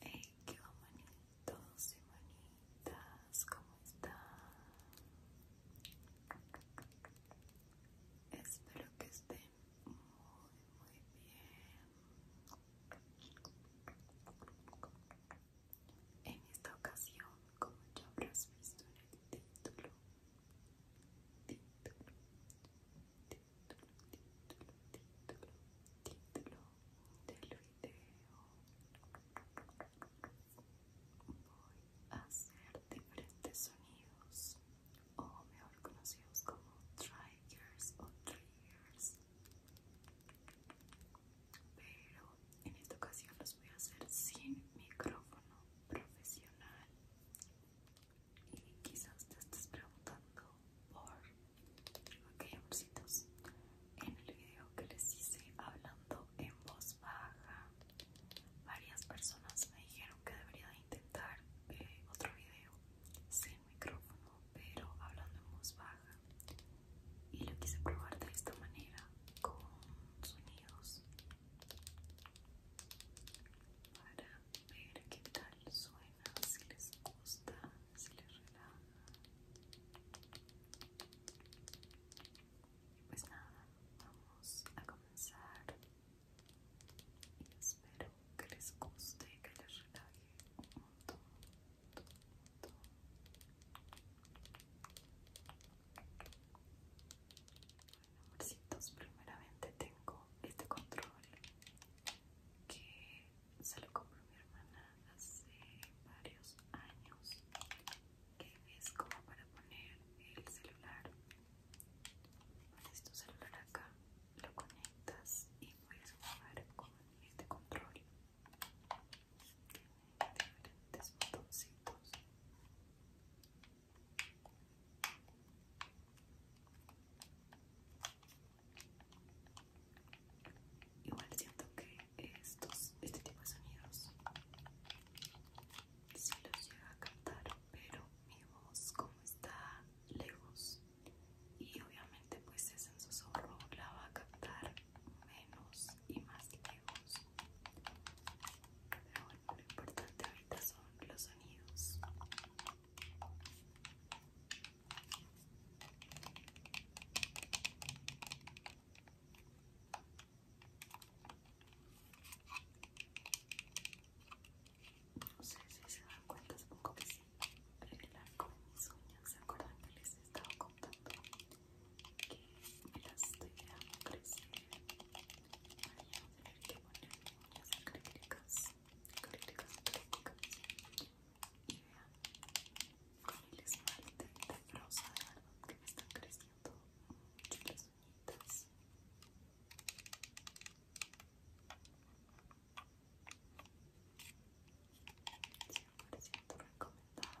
Hey, qué y manitas, ¿cómo están? Espero que estén muy, muy bien. En esta ocasión, como ya habrás visto en el título título, título título, título del video. Voy a hacer diferentes sonidos, o mejor conocidos como triggers o triggers. Pero en esta ocasión los voy a hacer sin micrófono profesional y quizás te estés preguntando por aquellos amorcitos en el video que les hice hablando en voz baja varias personas me dijeron que debería de intentar eh, otro video sin micrófono pero hablando en voz baja y lo quise probar de esta manera con sonidos para ver qué tal suena, si les gusta, si les relaja. Pues nada, vamos a comenzar y espero que les guste, que les relaje un montón, montón primeramente tengo este control que se lo compró mi hermana hace varios años, que es como para poner el celular. Pones este tu celular acá, lo conectas y puedes jugar con este control. Tiene diferentes botoncitos. Igual siento que estos, este tipo de sonidos si los llega a cantar, pero mi voz como está lejos y obviamente pues es en la va a captar menos y más lejos pero bueno, lo importante ahorita son los sonidos. No sé si se dan cuenta, supongo que sí. El con mis uñas, ¿se acuerdan que les he estado contando? Que me las estoy dejando crecer tener que poner las acrílicas acrílicas acrílicas y vean con el esmalte de rosa de verdad que me están creciendo mucho las uñitas Siempre siento recomendado.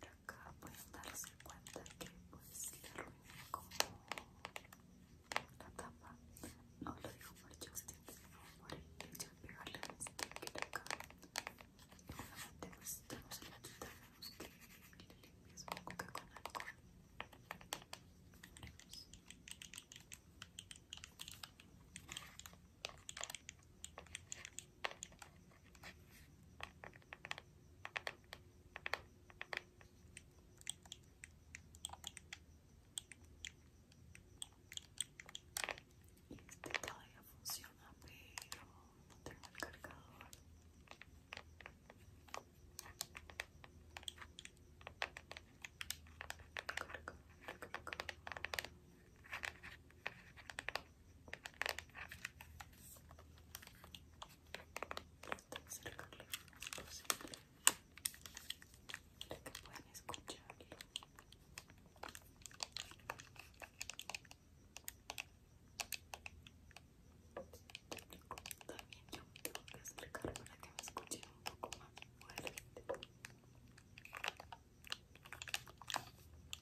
Pero acá pueden darse cuenta que pues, le arruiné como la tapa. No lo digo por Justin, sino por el hecho de pegarle un sticker acá. Seguramente pues ya no se la quita menos que le pues, limpies un poco con alcohol. Veremos. Este todavía funciona, pero no tengo el cargador. Carga, carga, carga. tan cerca lo más posible para que puedan escucharlo también yo me tengo que acercar para que me escuchen un poco más fuerte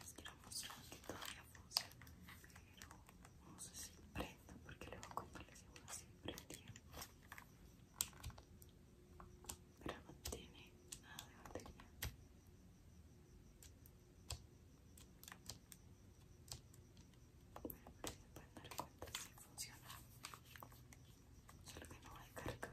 les quiero mostrar que todavía funciona pero no sé si prenda porque luego cuando les digo si prendía pero no tiene nada de batería bueno pero se pueden dar cuenta si funciona solo que no hay cargador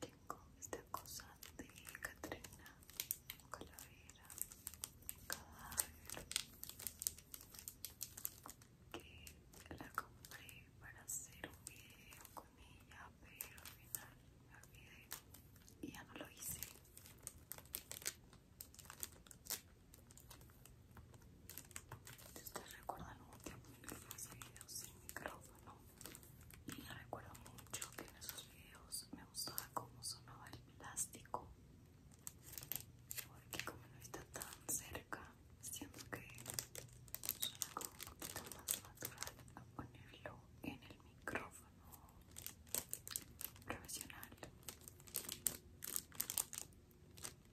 Tengo esta cosa de Catrina, calavera, cadáver, que la compré para hacer un video con ella, pero al final me olvidé y ya no lo hice. Si ustedes recuerdan, tiempo que hice videos sin micrófono y recuerdo mucho que en esos videos me gustaba cómo sonaba el plástico porque como no está tan cerca, siento que suena como un poquito más natural a ponerlo en el micrófono profesional. No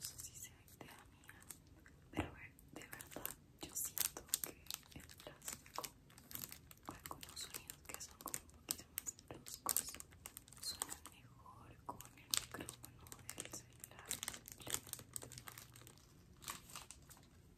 sé si se idea mía, pero de verdad yo siento que el plástico, algunos sonidos que son como un poquito más bruscos, suenan mejor con el micrófono del celular.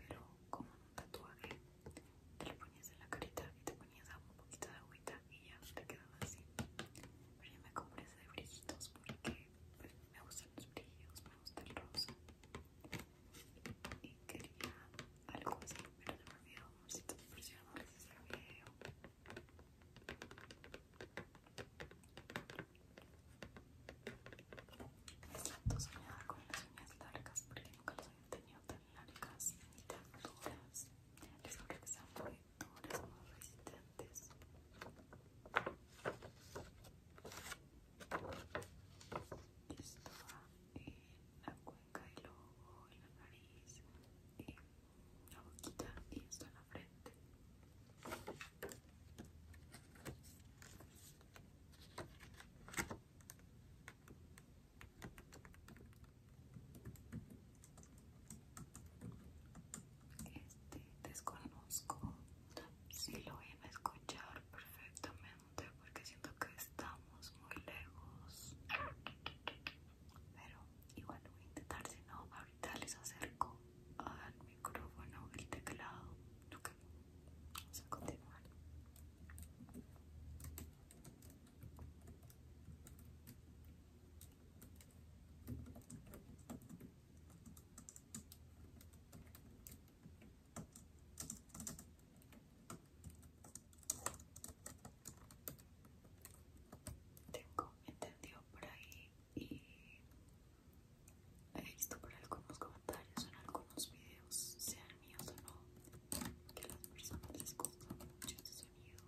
pero como un tatuaje, te lo ponías en la carita y te ponías un poquito de agüita y ya te quedaba así. Pero yo me compré ese de brillitos porque me gustan los brillos, me gusta el rosa. Y quería algo así, pero no me olvidó, amorcito, por si no video. Tanto soñada con las uñas largas porque nunca las he tenido tan largas ni tan duras. creo que son muy duras, muy resistentes. Esto va en la cuenca, el ojo, en la nariz, en la boquita y esto en la frente. Este desconozco si lo voy a escuchar perfectamente porque siento que estamos muy lejos. Pero igual voy a intentar, si no, ahorita les acerco mi micrófono, el teclado, lo que vamos a continuar. Tengo entendido por ahí y he visto por algunos comentarios en algunos videos, sean míos o no, que las personas les gusta mucho este sonido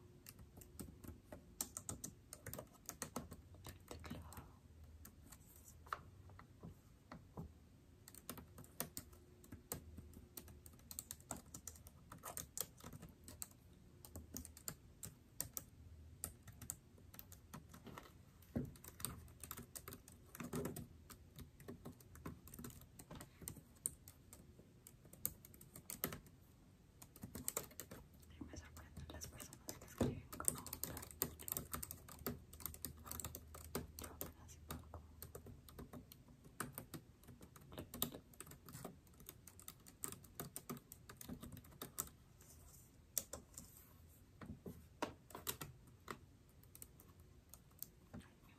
y me sorprenden las personas que escriben como yo mi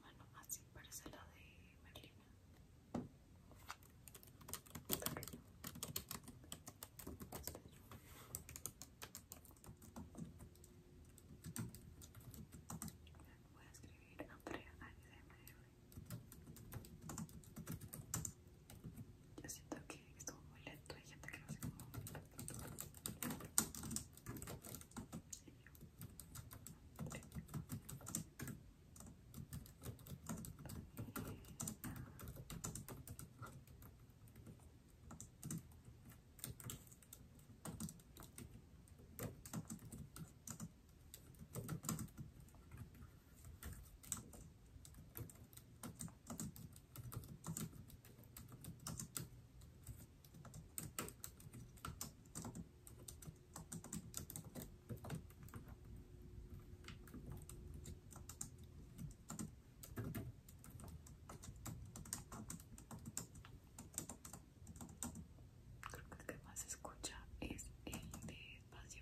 mano así parece la de Merlina Está bello. Voy a escribir Andrea ASMR yo siento que estuvo muy lento, hay gente que lo hace como... Creo que el que más se escucha es el de espacio.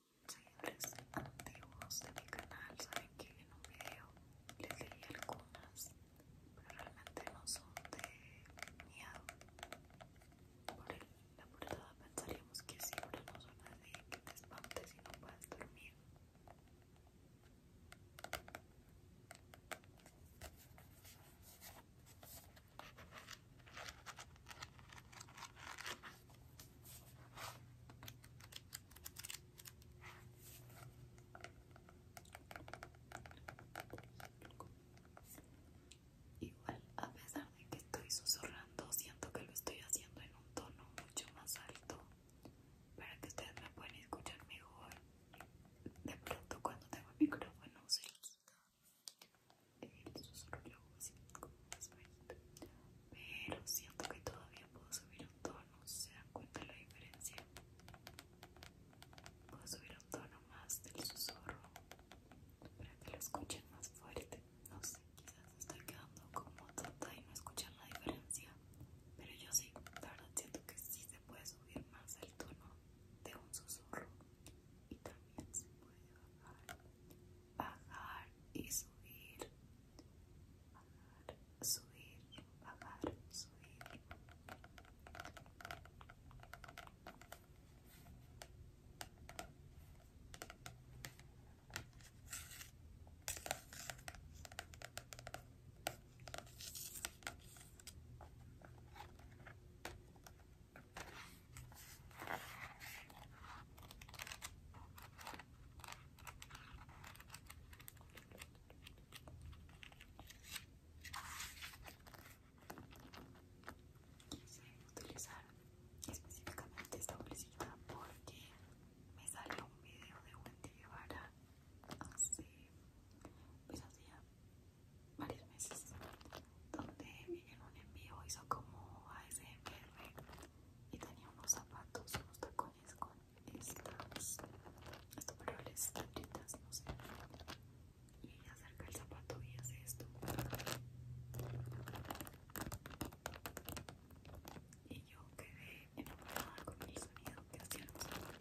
seguidores antiguos de mi canal saben que en un video les leí algunas, pero realmente no son de miedo. Por el, la portada pensaríamos que siempre no son y que te espantes y no puedes dormir. Igual, a pesar de que estoy susurrando, siento que lo estoy haciendo en un tono mucho más alto para que ustedes me puedan escuchar mejor. De pronto, cuando tengo el micrófono, se quita el susurro, así pero siento que todavía puedo subir un tono se dan cuenta la diferencia puedo subir un tono más del susurro para que lo escuchen más fuerte no sé quizás estoy quedando como tonta y no escuchan la diferencia pero yo sí la verdad siento que sí se puede subir más el tono de un susurro y también se puede bajar pagar y subir. Pagar, subir, pagar, subir. Quise utilizar específicamente esta bolsita porque me salió un video de Wendy Guevara hace, pues hacía varios meses donde en un envío hizo como ASMR y tenía unos zapatos, unos tacones con estas, estos para las no sé. Y ella acerca el zapato y hace esto. Y yo quedé enamorada con el sonido que hacían los zapatos.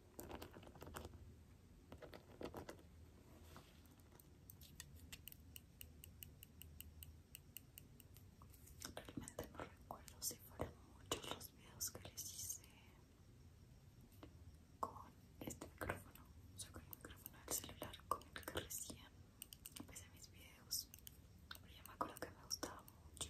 Realmente no recuerdo si fueron muchos los videos que les hice con este micrófono, o sea, con el micrófono del celular con el que recién empecé mis videos. Pero yo me acuerdo que me gustaba mucho.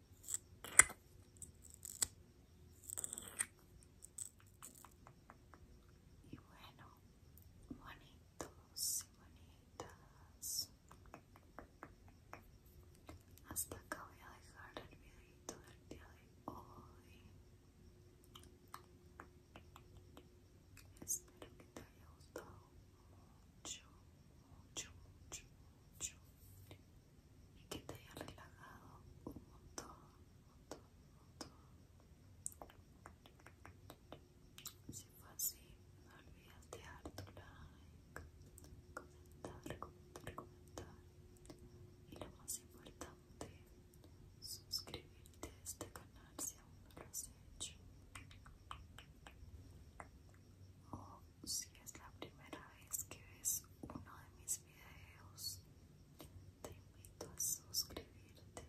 Y bueno, bonitos y bonitas. Hasta acá voy a dejar el videito del día de hoy. Espero que te haya gustado mucho, mucho, mucho, mucho. Y que te haya relajado un montón, montón, montón. Si fue así, no olvides dar tu like, comentar, comentar, comentar. Y lo más importante, suscribirte a este canal si aún no lo has hecho si es la primera vez que ves uno de mis videos, te invito a suscribirte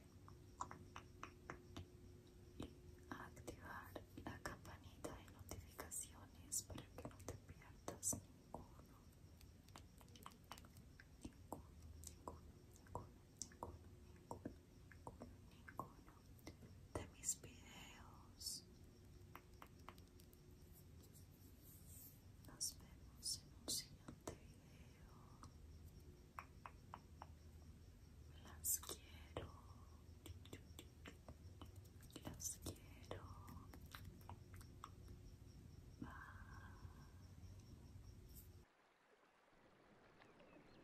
y a activar la campanita de notificaciones para que no te pierdas ninguno, ninguno, ninguno, ninguno, ninguno, ninguno, ninguno de mis videos. Nos vemos en un siguiente video. Las quiero. Las quiero. Bye.